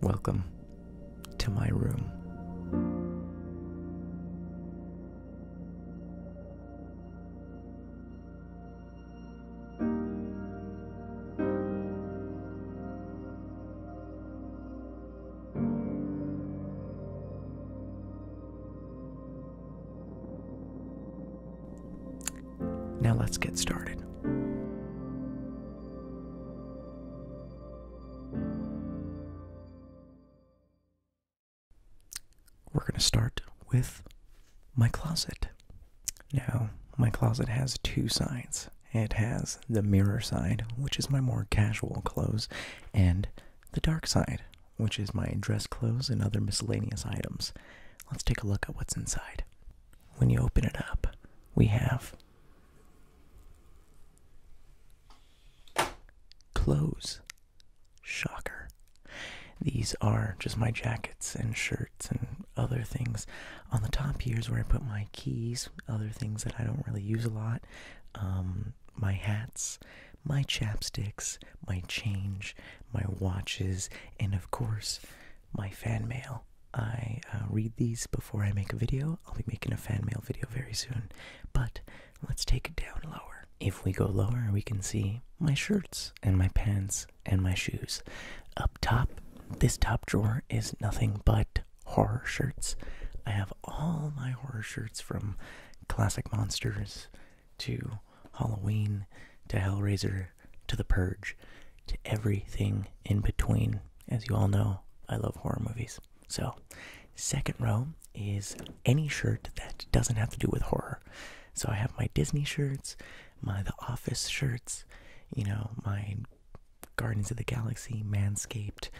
Welcome to my room. Now let's get started. We're going to start with my closet. Now, my closet has two sides. It has the mirror side, which is my more casual clothes, and the dark side, which is my dress clothes and other miscellaneous items. Let's take a look at what's inside. When you open it up, we have clothes. Shocker. These are just my jackets and shirts and other things. On the top here is where I put my keys, other things that I don't really use a lot, um, my hats, my chapsticks, my change, my watches, and of course, my fan mail. I uh, read these before I make a video. I'll be making a fan mail video very soon, but let's take it down lower. If we go lower, we can see my shirts and my pants and my shoes. Up top, this top drawer is nothing but horror shirts. I have all my horror shirts from Classic Monsters, to Halloween to Hellraiser to The Purge to everything in between. As you all know, I love horror movies. So, second row is any shirt that doesn't have to do with horror. So I have my Disney shirts, my The Office shirts, you know, my Guardians of the Galaxy, Manscaped,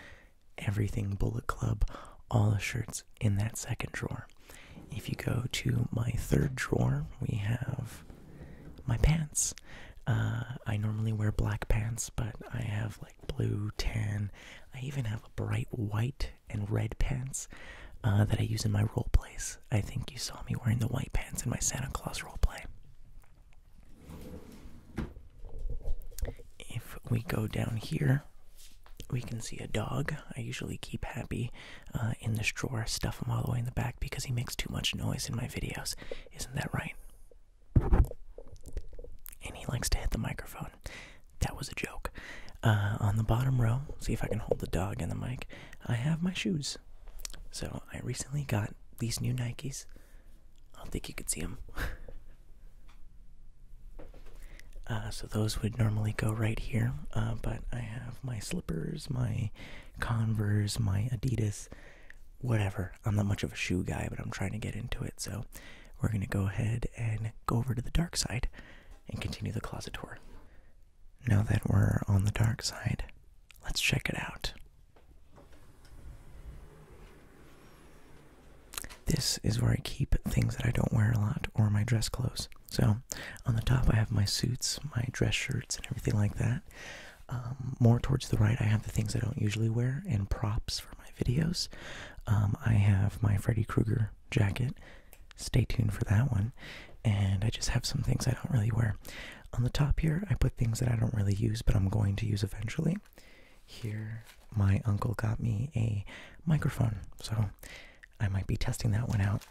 everything Bullet Club, all the shirts in that second drawer. If you go to my third drawer, we have my pants. Uh, I normally wear black pants, but I have like blue, tan. I even have a bright white and red pants uh, that I use in my role plays. I think you saw me wearing the white pants in my Santa Claus role play. If we go down here, we can see a dog. I usually keep Happy uh, in this drawer, stuff him all the way in the back because he makes too much noise in my videos. Isn't that right? And he likes to hit the microphone. That was a joke. Uh, on the bottom row, see if I can hold the dog in the mic, I have my shoes. So I recently got these new Nikes. I don't think you could see them. Uh, so those would normally go right here, but I have my sleeve my Converse, my Adidas, whatever. I'm not much of a shoe guy, but I'm trying to get into it. So we're going to go ahead and go over to the dark side and continue the closet tour. Now that we're on the dark side, let's check it out. This is where I keep things that I don't wear a lot or my dress clothes. So, on the top, I have my suits, my dress shirts, and everything like that. Um, more towards the right, I have the things I don't usually wear and props for my videos. Um, I have my Freddy Krueger jacket. Stay tuned for that one. And I just have some things I don't really wear. On the top here, I put things that I don't really use, but I'm going to use eventually. Here, my uncle got me a microphone. So, I might be testing that one out.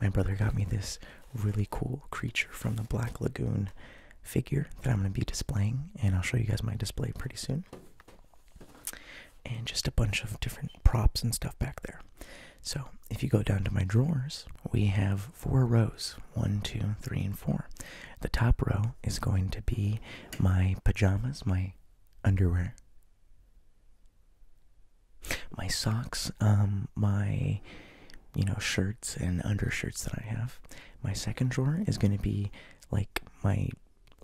My brother got me this really cool creature from the Black Lagoon figure that I'm going to be displaying, and I'll show you guys my display pretty soon. And just a bunch of different props and stuff back there. So, if you go down to my drawers, we have four rows one, two, three, and four. The top row is going to be my pajamas, my underwear my socks, um, my you know shirts and undershirts that I have. My second drawer is going to be like my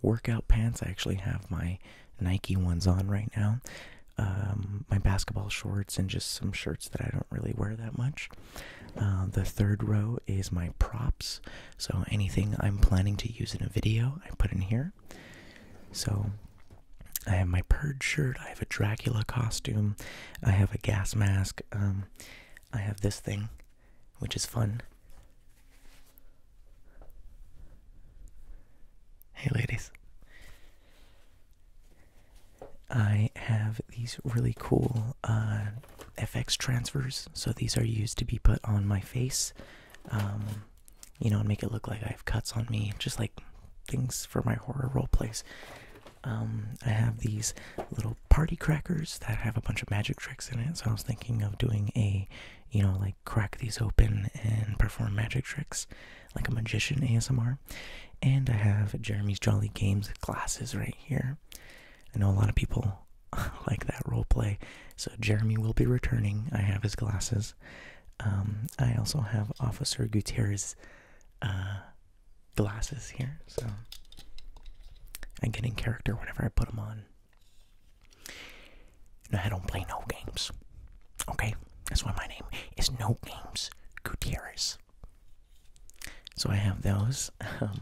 workout pants. I actually have my Nike ones on right now. Um, my basketball shorts and just some shirts that I don't really wear that much. Uh, the third row is my props. So anything I'm planning to use in a video, I put in here. So I have my purge shirt. I have a Dracula costume. I have a gas mask. Um, I have this thing, which is fun. Hey, ladies. I have these really cool uh, FX transfers. So these are used to be put on my face. Um, you know, and make it look like I have cuts on me, just like things for my horror role plays. Um, I have these little party crackers that have a bunch of magic tricks in it, so I was thinking of doing a, you know, like crack these open and perform magic tricks, like a magician ASMR. And I have Jeremy's Jolly Games glasses right here. I know a lot of people like that role play, so Jeremy will be returning. I have his glasses. Um, I also have Officer Gutierrez uh, glasses here, so I get in character whenever I put them on. I don't play no games. Okay, that's why my name is No Games Gutierrez. So I have those. Um,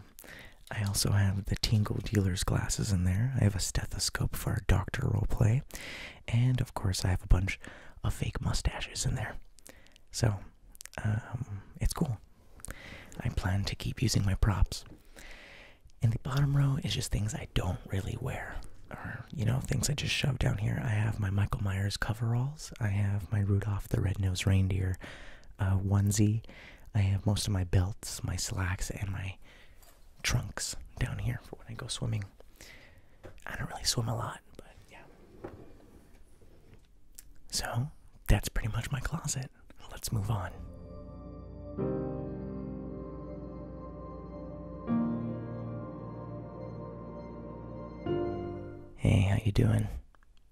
I also have the Tingle Dealer's glasses in there. I have a stethoscope for our doctor role play, and of course, I have a bunch of fake mustaches in there. So, um, it's cool. I plan to keep using my props. And the bottom row is just things I don't really wear. Or, you know, things I just shove down here. I have my Michael Myers coveralls. I have my Rudolph the Red-Nosed Reindeer uh, onesie. I have most of my belts, my slacks, and my trunks down here for when I go swimming. I don't really swim a lot, but yeah. So that's pretty much my closet. Let's move on. Hey, how you doing?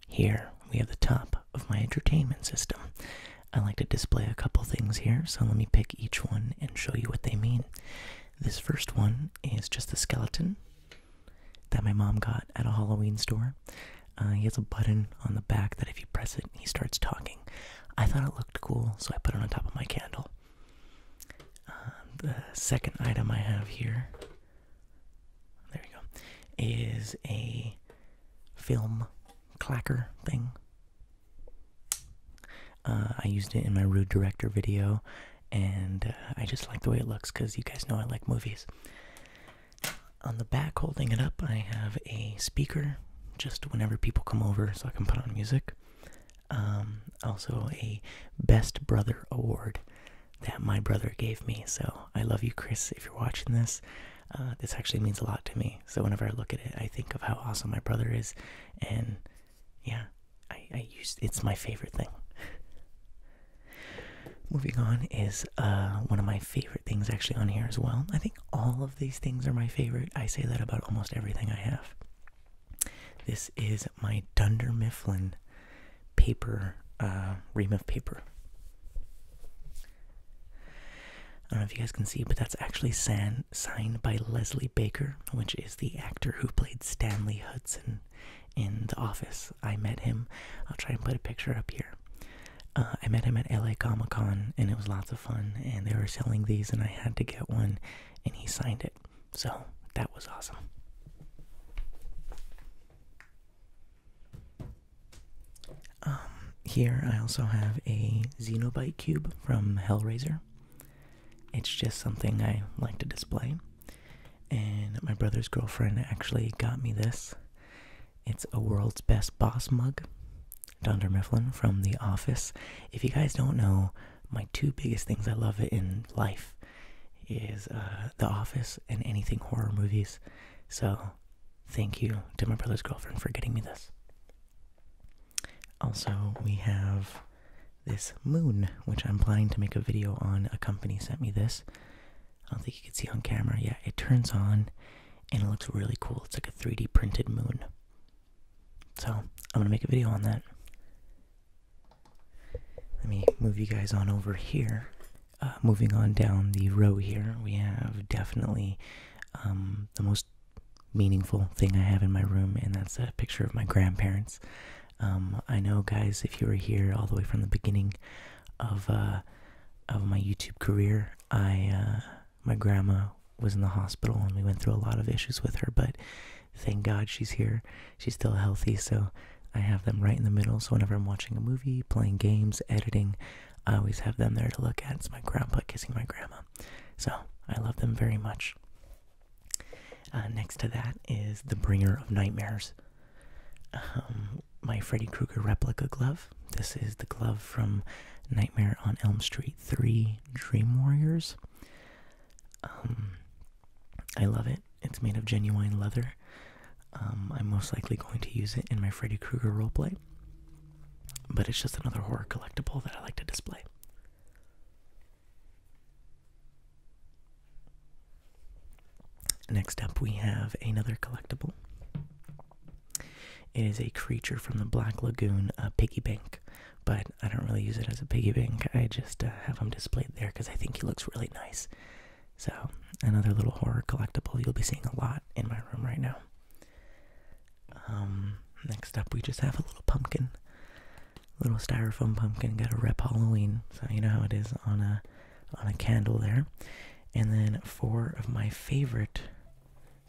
Here we have the top of my entertainment system. I like to display a couple things here, so let me pick each one and show you what they mean. This first one is just a skeleton that my mom got at a Halloween store. Uh, he has a button on the back that if you press it, he starts talking. I thought it looked cool, so I put it on top of my candle. Um, the second item I have here, there you go, is a film clacker thing. Uh, I used it in my Rude Director video, and uh, I just like the way it looks because you guys know I like movies. On the back, holding it up, I have a speaker just whenever people come over so I can put on music. Um, also, a Best Brother Award that my brother gave me. So I love you, Chris, if you're watching this. Uh, this actually means a lot to me. So whenever I look at it, I think of how awesome my brother is and yeah, I, I used it's my favorite thing. Moving on is uh, one of my favorite things actually on here as well. I think all of these things are my favorite. I say that about almost everything I have. This is my Dunder Mifflin paper, uh, ream of paper. I don't know if you guys can see, but that's actually san signed by Leslie Baker, which is the actor who played Stanley Hudson in The Office. I met him. I'll try and put a picture up here. Uh, I met him at LA Comic Con and it was lots of fun. And they were selling these, and I had to get one, and he signed it. So that was awesome. Um, here I also have a Xenobite cube from Hellraiser. It's just something I like to display. And my brother's girlfriend actually got me this. It's a world's best boss mug. Dunder Mifflin from The Office. If you guys don't know, my two biggest things I love in life is uh, The Office and anything horror movies. So, thank you to my brother's girlfriend for getting me this. Also, we have this moon, which I'm planning to make a video on. A company sent me this. I don't think you can see on camera. Yeah, it turns on and it looks really cool. It's like a 3D printed moon. So, I'm going to make a video on that. Let me move you guys on over here. Uh, moving on down the row here, we have definitely um, the most meaningful thing I have in my room, and that's a picture of my grandparents. Um, I know, guys, if you were here all the way from the beginning of uh, of my YouTube career, I uh, my grandma was in the hospital, and we went through a lot of issues with her. But thank God she's here; she's still healthy. So I have them right in the middle. So whenever I'm watching a movie, playing games, editing, I always have them there to look at. It's my grandpa kissing my grandma. So I love them very much. Uh, next to that is The Bringer of Nightmares. Um, my Freddy Krueger replica glove. This is the glove from Nightmare on Elm Street 3 Dream Warriors. Um, I love it. It's made of genuine leather. Um, I'm most likely going to use it in my Freddy Krueger roleplay. But it's just another horror collectible that I like to display. Next up, we have another collectible. It is a creature from the Black Lagoon, a piggy bank, but I don't really use it as a piggy bank. I just uh, have him displayed there because I think he looks really nice. So, another little horror collectible you'll be seeing a lot in my room right now. Um, next up, we just have a little pumpkin little styrofoam pumpkin. Got a rep Halloween, so you know how it is on a on a candle there. And then four of my favorite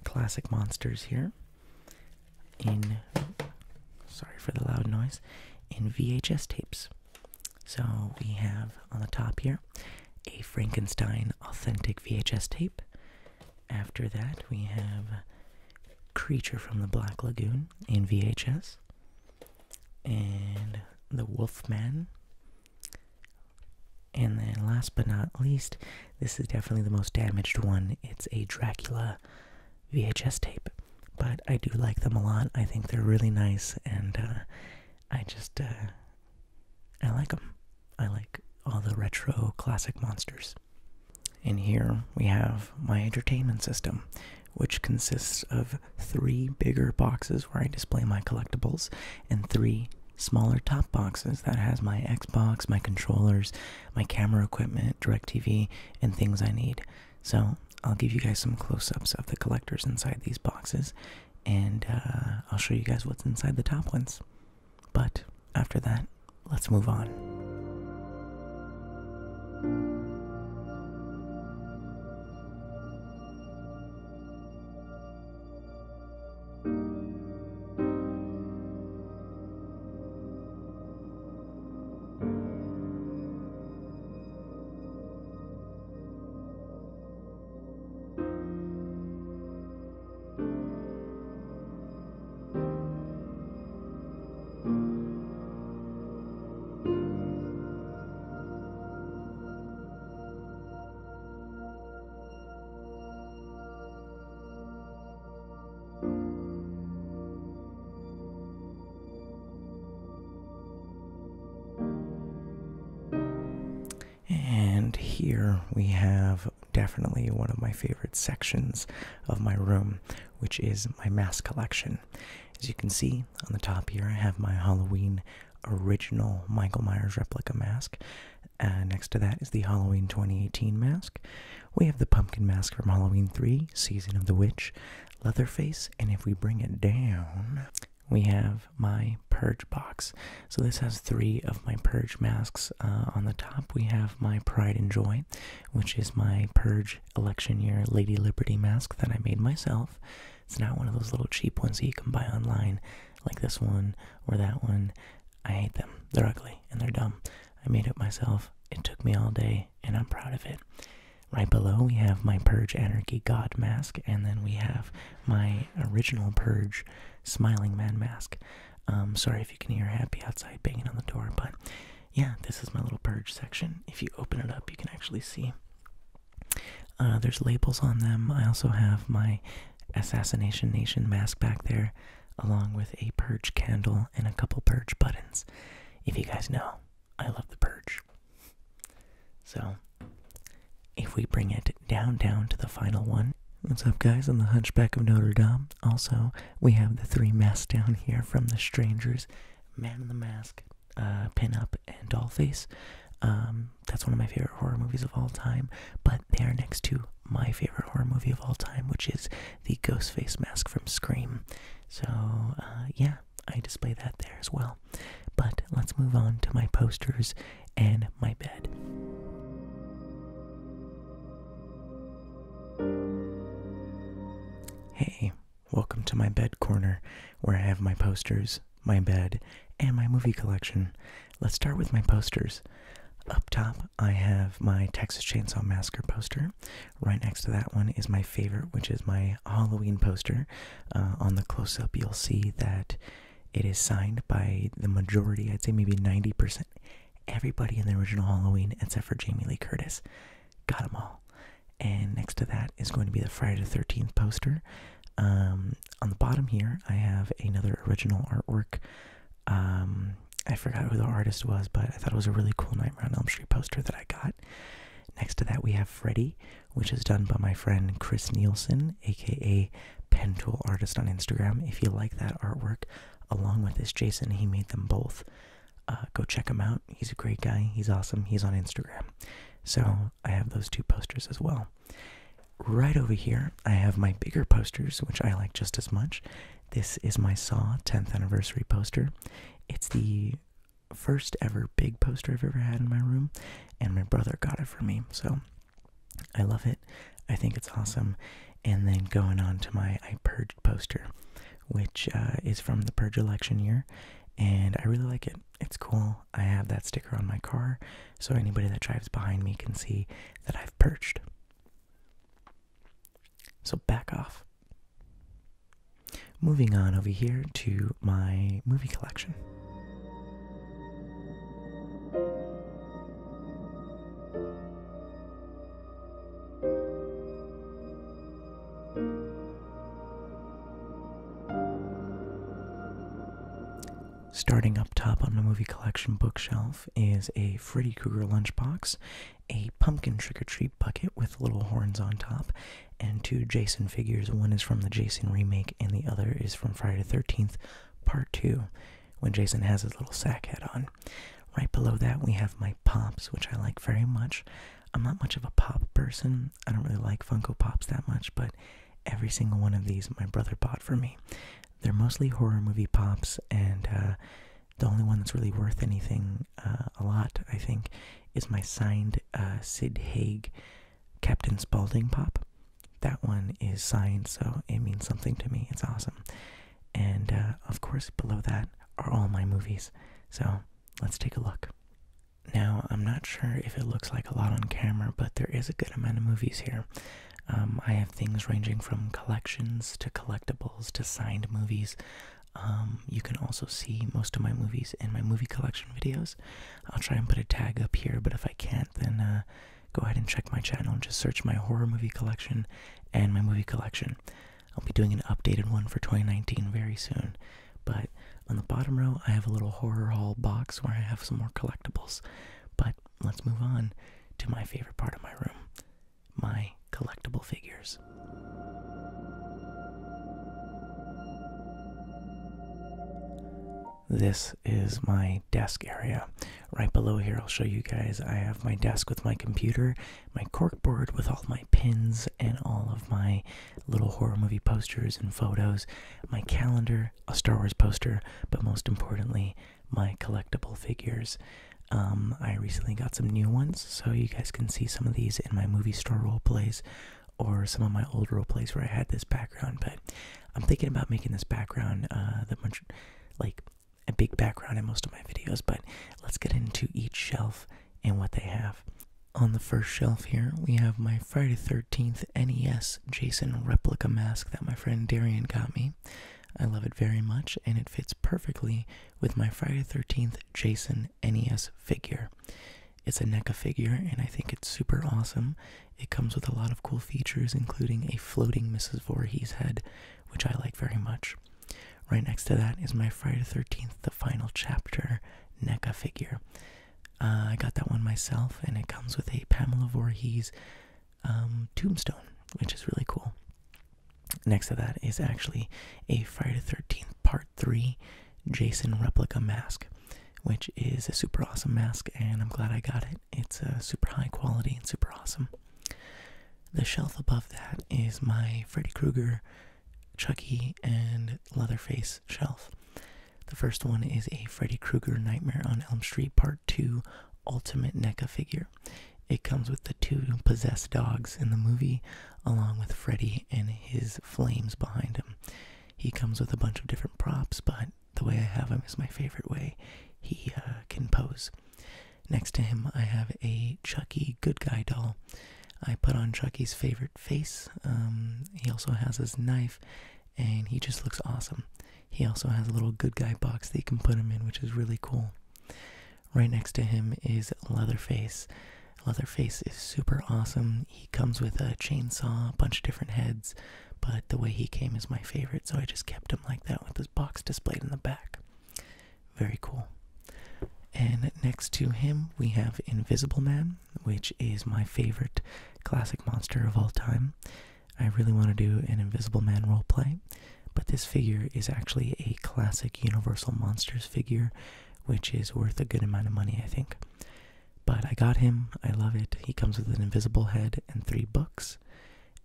classic monsters here. In sorry for the loud noise. In VHS tapes. So we have on the top here a Frankenstein authentic VHS tape. After that, we have Creature from the Black Lagoon in VHS, and The Wolfman. And then, last but not least, this is definitely the most damaged one. It's a Dracula VHS tape, but I do like them a lot. I think they're really nice, and uh, I just uh, I like them. I like all the retro classic monsters. And here we have my entertainment system, which consists of three bigger boxes where I display my collectibles and three smaller top boxes that has my Xbox, my controllers, my camera equipment, DirecTV, and things I need. So I'll give you guys some close ups of the collectors inside these boxes, and uh, I'll show you guys what's inside the top ones. But after that, Let's move on. And here we have definitely one of my favorite sections of my room which is my mask collection. As you can see on the top here, I have my Halloween original Michael Myers replica mask. Uh, next to that is the Halloween 2018 mask. We have the pumpkin mask from Halloween 3, Season of the Witch, Leatherface, and if we bring it down, we have my purge box. So this has three of my purge masks. Uh, on the top, we have my Pride and Joy, which is my purge election year Lady Liberty mask that I made myself. It's not one of those little cheap ones that you can buy online, like this one or that one. I hate them. They're ugly and they're dumb. I made it myself. It took me all day, and I'm proud of it. Right below, we have my Purge Anarchy God mask, and then we have my original Purge Smiling Man mask. Um, sorry if you can hear Happy outside banging on the door, but yeah, this is my little purge section. If you open it up, you can actually see. Uh, there's labels on them. I also have my Assassination Nation mask back there, along with a purge candle and a couple purge buttons. If you guys know, I love the purge. So, if we bring it down, down to the final one. What's up, guys? On the Hunchback of Notre Dame. Also, we have the three masks down here from the Strangers. Man in the Mask, uh, Pinup, and Dollface. Um, that's one of my favorite horror movies of all time, but they are next to my favorite horror movie of all time, which is the Ghostface Mask from Scream. So, uh, yeah, I display that there as well. But let's move on to my posters and my bed. Hey, welcome to my bed corner where I have my posters, my bed, and my movie collection. Let's start with my posters. Up top, I have my Texas Chainsaw Massacre poster. Right next to that one is my favorite, which is my Halloween poster. Uh, on the close up, you'll see that it is signed by the majority, I'd say maybe 90%, everybody in the original Halloween except for Jamie Lee Curtis got them all. And next to that is going to be the Friday the 13th poster. Um, on the bottom here, I have another original artwork. Um, I forgot who the artist was, but I thought it was a really cool Nightmare on Elm Street poster that I got. Next to that, we have Freddy, which is done by my friend Chris Nielsen, aka Pen Tool Artist on Instagram. If you like that artwork, along with this Jason, he made them both. Uh, go check him out. He's a great guy. He's awesome. He's on Instagram. So I have those two posters as well. Right over here, I have my bigger posters, which I like just as much. This is my Saw 10th anniversary poster. It's the first ever big poster I've ever had in my room, and my brother got it for me. So I love it. I think it's awesome. And then going on to my I Purged poster which uh, is from the Purge election year, and I really like it. It's cool. I have that sticker on my car, so anybody that drives behind me can see that I've perched. So back off. Moving on over here to my movie collection. Starting up top on my movie collection bookshelf is a Freddy Krueger lunchbox, a pumpkin trick or treat bucket with little horns on top, and two Jason figures. One is from the Jason remake, and the other is from Friday the 13th, Part 2, when Jason has his little sack head on. Right below that, we have my Pops, which I like very much. I'm not much of a Pop person. I don't really like Funko Pops that much, but every single one of these my brother bought for me. They're mostly horror movie Pops, and uh, the only one that's really worth anything uh, a lot, I think, is my signed uh, Sid Haig Captain Spaulding Pop. That one is signed, so it means something to me. It's awesome. And uh, of course, below that are all my movies. So let's take a look. Now, I'm not sure if it looks like a lot on camera, but there is a good amount of movies here. Um, I have things ranging from collections to collectibles to signed movies. Um, you can also see most of my movies in my movie collection videos. I'll try and put a tag up here, but if I can't, then uh, go ahead and check my channel. and Just search my horror movie collection and my movie collection. I'll be doing an updated one for 2019 very soon. But on the bottom row, I have a little horror hall box where I have some more collectibles. But let's move on to my favorite part of my room my collectible figures. This is my desk area. Right below here, I'll show you guys. I have my desk with my computer my corkboard with all my pins and all of my little horror movie posters and photos, my calendar, a Star Wars poster, but most importantly, my collectible figures. Um, I recently got some new ones, so you guys can see some of these in my movie store role plays or some of my old role plays where I had this background. But I'm thinking about making this background uh, the much like a big background in most of my videos. But let's get into each shelf and what they have. On the first shelf here, we have my Friday 13th NES Jason replica mask that my friend Darian got me. I love it very much, and it fits perfectly with my Friday 13th Jason NES figure. It's a NECA figure, and I think it's super awesome. It comes with a lot of cool features, including a floating Mrs. Voorhees head, which I like very much. Right next to that is my Friday 13th, the final chapter NECA figure. Uh, I got that one myself, and it comes with a Pamela Voorhees um, tombstone, which is really cool. Next to that is actually a Friday 13th Part 3 Jason replica mask, which is a super awesome mask, and I'm glad I got it. It's a uh, super high quality and super awesome. The shelf above that is my Freddy Krueger Chucky and Leatherface shelf. The first one is a Freddy Krueger Nightmare on Elm Street Part 2 Ultimate NECA figure. It comes with the two possessed dogs in the movie, along with Freddy and his flames behind him. He comes with a bunch of different props, but the way I have him is my favorite way he uh, can pose. Next to him, I have a Chucky good guy doll. I put on Chucky's favorite face. Um, he also has his knife, and he just looks awesome. He also has a little good guy box that you can put him in, which is really cool. Right next to him is Leatherface. Leatherface is super awesome. He comes with a chainsaw, a bunch of different heads, but the way he came is my favorite, so I just kept him like that with his box displayed in the back. Very cool. And next to him, we have Invisible Man, which is my favorite classic monster of all time. I really want to do an Invisible Man roleplay, but this figure is actually a classic Universal Monsters figure, which is worth a good amount of money, I think. But I got him, I love it. He comes with an invisible head and three books,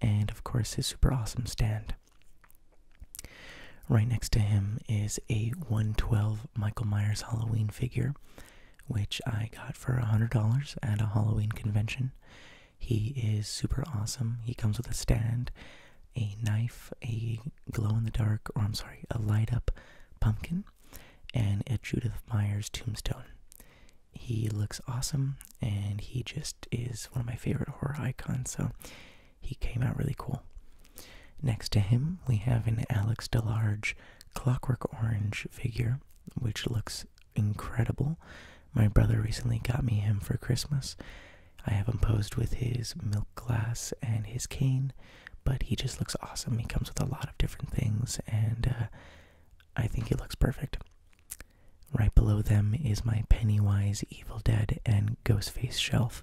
and of course, his super awesome stand. Right next to him is a 112 Michael Myers Halloween figure, which I got for a $100 at a Halloween convention. He is super awesome. He comes with a stand, a knife, a glow in the dark, or I'm sorry, a light up pumpkin, and a Judith Myers tombstone. He looks awesome and he just is one of my favorite horror icons, so he came out really cool. Next to him, we have an Alex DeLarge Clockwork Orange figure, which looks incredible. My brother recently got me him for Christmas. I have him posed with his milk glass and his cane, but he just looks awesome. He comes with a lot of different things, and uh, I think he looks perfect. Right below them is my Pennywise, Evil Dead, and Ghostface shelf.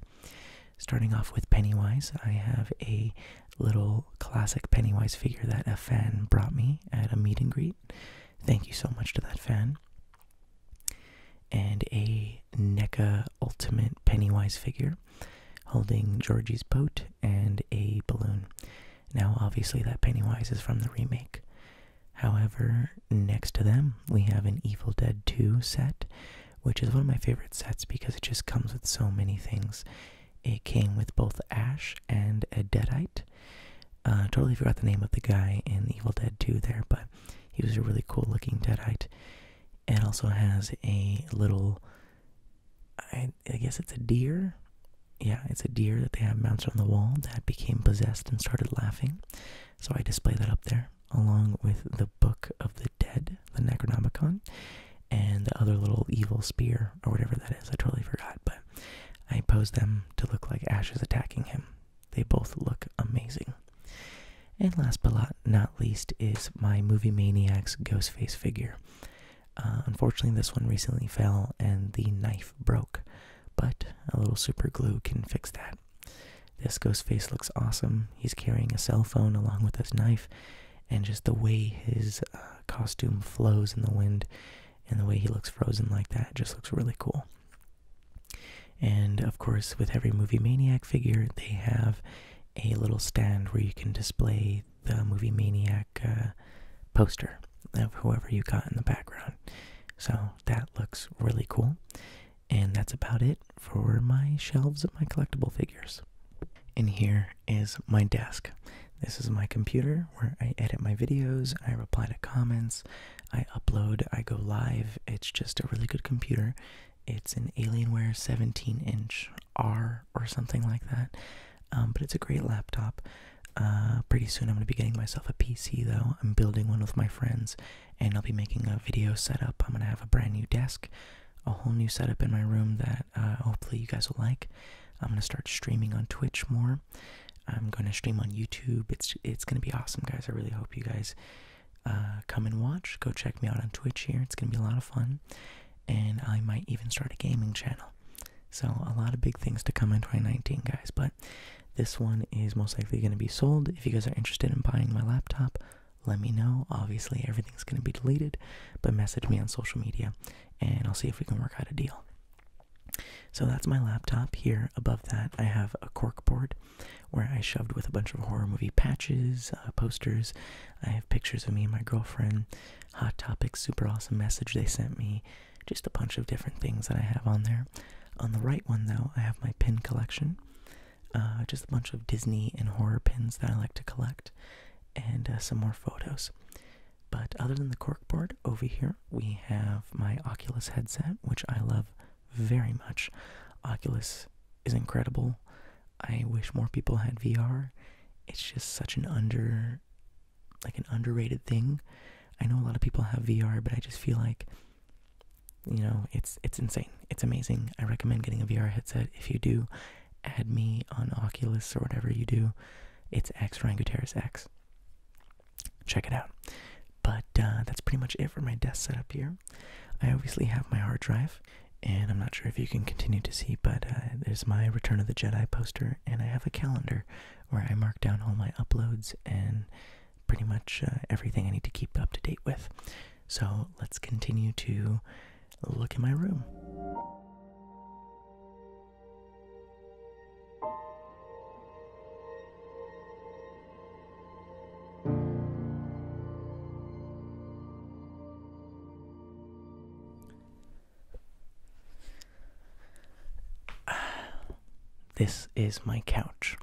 Starting off with Pennywise, I have a little classic Pennywise figure that a fan brought me at a meet and greet. Thank you so much to that fan. And a NECA Ultimate Pennywise figure holding Georgie's boat and a balloon. Now, obviously, that Pennywise is from the remake. However, next to them, we have an Evil Dead 2 set which is one of my favorite sets because it just comes with so many things. It came with both Ash and a Deadite. Uh, totally forgot the name of the guy in Evil Dead 2 there, but he was a really cool looking Deadite. It also has a little, I guess it's a deer. Yeah, it's a deer that they have mounted on the wall that became possessed and started laughing. So I display that up there along with the Book of the Dead, the Necronomicon, and the other little evil spear or whatever that is. I totally forgot, but I posed them to look like Ash is attacking him. They both look amazing. And last but not least is my Movie Maniacs Ghostface figure. Uh, unfortunately, this one recently fell and the knife broke, but a little super glue can fix that. This ghost face looks awesome. He's carrying a cell phone along with his knife, and just the way his uh, costume flows in the wind and the way he looks frozen like that just looks really cool. And of course, with every Movie Maniac figure, they have a little stand where you can display the Movie Maniac uh, poster of whoever you got in the background. So that looks really cool. And that's about it for my shelves of my collectible figures. And here is my desk. This is my computer where I edit my videos, I reply to comments, I upload, I go live. It's just a really good computer. It's an Alienware 17 inch R or something like that, um, but it's a great laptop. Uh, pretty soon, I'm going to be getting myself a PC though. I'm building one with my friends, and I'll be making a video setup. I'm going to have a brand new desk, a whole new setup in my room that uh, hopefully you guys will like. I'm going to start streaming on Twitch more. I'm going to stream on YouTube. It's it's going to be awesome, guys. I really hope you guys uh, come and watch. Go check me out on Twitch here. It's going to be a lot of fun. And I might even start a gaming channel. So, a lot of big things to come in 2019, guys. But this one is most likely going to be sold. If you guys are interested in buying my laptop, let me know. Obviously, everything's going to be deleted, but message me on social media and I'll see if we can work out a deal. So that's my laptop. Here above that, I have a cork board where I shoved with a bunch of horror movie patches, uh, posters. I have pictures of me and my girlfriend, Hot Topic, super awesome message they sent me, just a bunch of different things that I have on there. On the right one, though, I have my pin collection. Uh, just a bunch of Disney and horror pins that I like to collect, and uh, some more photos. But other than the corkboard, over here we have my Oculus headset, which I love very much. Oculus is incredible. I wish more people had VR. It's just such an under, like an underrated thing. I know a lot of people have VR, but I just feel like you know, it's it's insane. It's amazing. I recommend getting a VR headset. If you do, add me on Oculus or whatever you do. It's X Ryan Gutierrez X. Check it out. But uh, that's pretty much it for my desk setup here. I obviously have my hard drive, and I'm not sure if you can continue to see, but uh, there's my Return of the Jedi poster, and I have a calendar where I mark down all my uploads and pretty much uh, everything I need to keep up to date with. So let's continue to look in my room. This is my couch.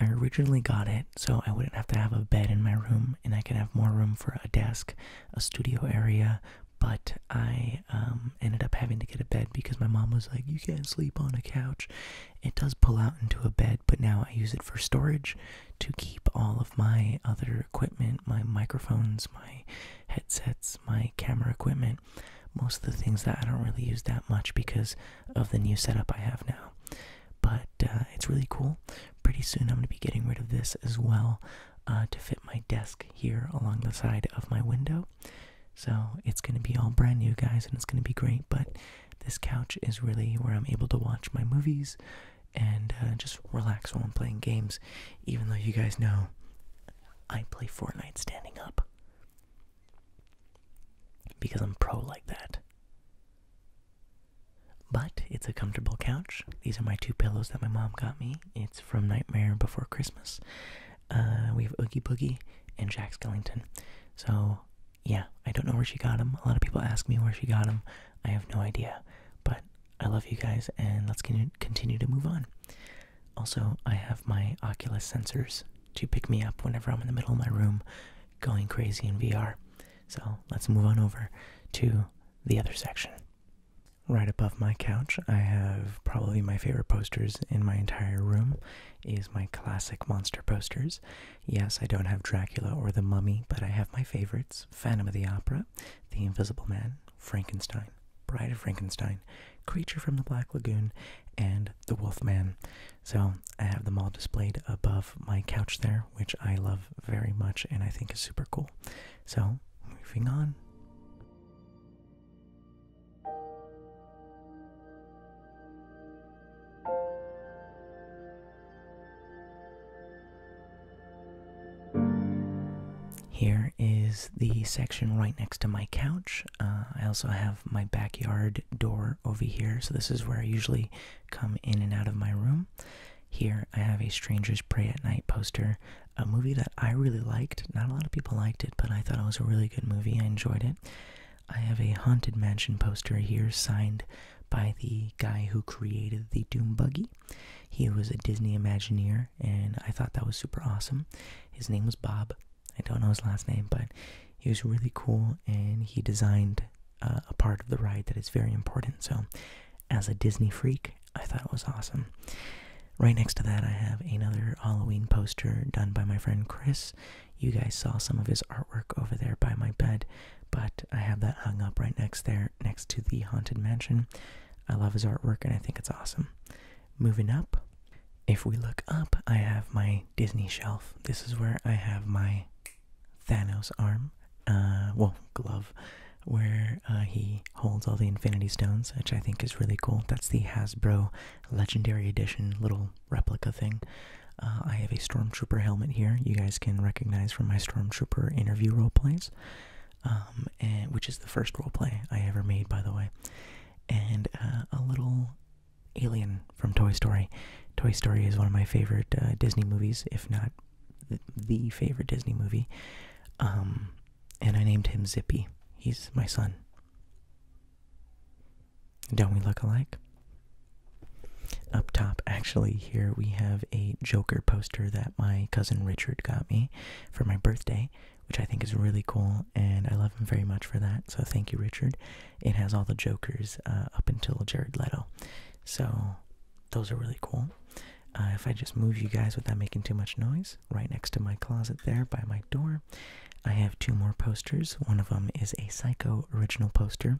I originally got it so I wouldn't have to have a bed in my room and I could have more room for a desk, a studio area, but I um, ended up having to get a bed because my mom was like, You can't sleep on a couch. It does pull out into a bed, but now I use it for storage to keep all of my other equipment my microphones, my headsets, my camera equipment. Most of the things that I don't really use that much because of the new setup I have now. But uh, it's really cool. Pretty soon I'm going to be getting rid of this as well uh, to fit my desk here along the side of my window. So it's going to be all brand new, guys, and it's going to be great. But this couch is really where I'm able to watch my movies and uh, just relax while I'm playing games, even though you guys know I play Fortnite standing up. Because I'm pro like that. But it's a comfortable couch. These are my two pillows that my mom got me. It's from Nightmare Before Christmas. Uh, we have Oogie Boogie and Jack Skellington. So, yeah, I don't know where she got them. A lot of people ask me where she got them. I have no idea. But I love you guys, and let's continue to move on. Also, I have my Oculus sensors to pick me up whenever I'm in the middle of my room going crazy in VR. So let's move on over to the other section. Right above my couch, I have probably my favorite posters in my entire room is my classic monster posters. Yes, I don't have Dracula or the Mummy, but I have my favorites, Phantom of the Opera, The Invisible Man, Frankenstein, Bride of Frankenstein, Creature from the Black Lagoon, and The Wolf Man. So I have them all displayed above my couch there, which I love very much and I think is super cool. So moving on. Here is the section right next to my couch. Uh, I also have my backyard door over here, so this is where I usually come in and out of my room. Here, I have a Strangers Pray at Night poster, a movie that I really liked. Not a lot of people liked it, but I thought it was a really good movie. I enjoyed it. I have a Haunted Mansion poster here signed by the guy who created the Doom Buggy. He was a Disney Imagineer, and I thought that was super awesome. His name was Bob. I don't know his last name, but he was really cool and he designed uh, a part of the ride that is very important. So, as a Disney freak, I thought it was awesome. Right next to that, I have another Halloween poster done by my friend Chris. You guys saw some of his artwork over there by my bed, but I have that hung up right next there, next to the Haunted Mansion. I love his artwork and I think it's awesome. Moving up, if we look up, I have my Disney shelf. This is where I have my Thanos arm, uh, well, glove, where uh, he holds all the Infinity Stones, which I think is really cool. That's the Hasbro Legendary Edition little replica thing. Uh, I have a Stormtrooper helmet here. You guys can recognize from my Stormtrooper interview roleplays, um, which is the first role play I ever made, by the way. And uh, a little Alien from Toy Story. Toy Story is one of my favorite uh, Disney movies, if not the favorite Disney movie. Um, and I named him Zippy. He's my son. Don't we look alike? Up top, actually, here we have a Joker poster that my cousin Richard got me for my birthday, which I think is really cool, and I love him very much for that. So thank you, Richard it has all the Jokers uh, up until Jared Leto. So those are really cool. Uh, if I just move you guys without making too much noise, right next to my closet there by my door, I have two more posters. One of them is a Psycho original poster,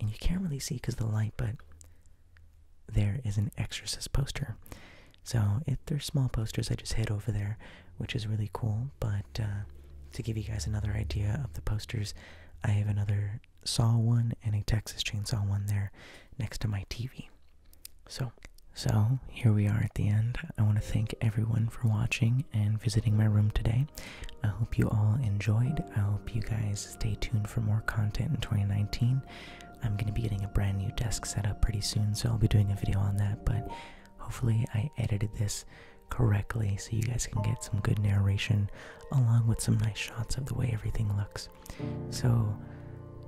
and you can't really see because the light, but there is an Exorcist poster. So it, they're small posters I just hid over there, which is really cool. But uh, to give you guys another idea of the posters, I have another Saw one and a Texas Chainsaw one there next to my TV. So, so here we are at the end. I want to thank everyone for watching and visiting my room today. I hope you all enjoyed. I hope you guys stay tuned for more content in 2019. I'm going to be getting a brand new desk set up pretty soon, so I'll be doing a video on that, but hopefully I edited this correctly so you guys can get some good narration along with some nice shots of the way everything looks. So,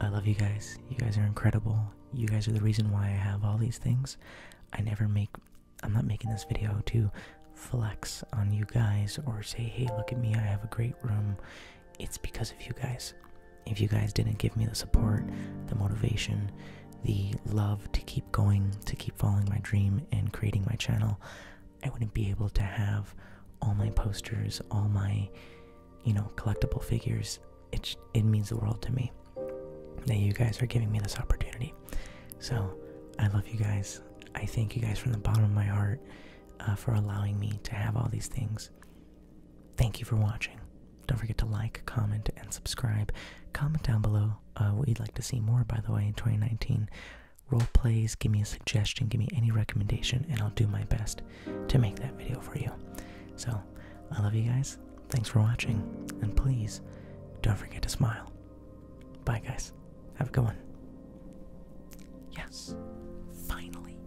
I love you guys. You guys are incredible. You guys are the reason why I have all these things. I never make, I'm not making this video to flex on you guys or say, hey, look at me, I have a great room. It's because of you guys. If you guys didn't give me the support, the motivation, the love to keep going, to keep following my dream and creating my channel, I wouldn't be able to have all my posters, all my, you know, collectible figures. It, it means the world to me that you guys are giving me this opportunity. So I love you guys. I thank you guys from the bottom of my heart uh, for allowing me to have all these things. Thank you for watching. Don't forget to like, comment, and subscribe. Comment down below uh, what you'd like to see more, by the way, in 2019 role plays, give me a suggestion, give me any recommendation, and I'll do my best to make that video for you. So, I love you guys. Thanks for watching, and please don't forget to smile. Bye, guys. Have a good one. Yes, finally.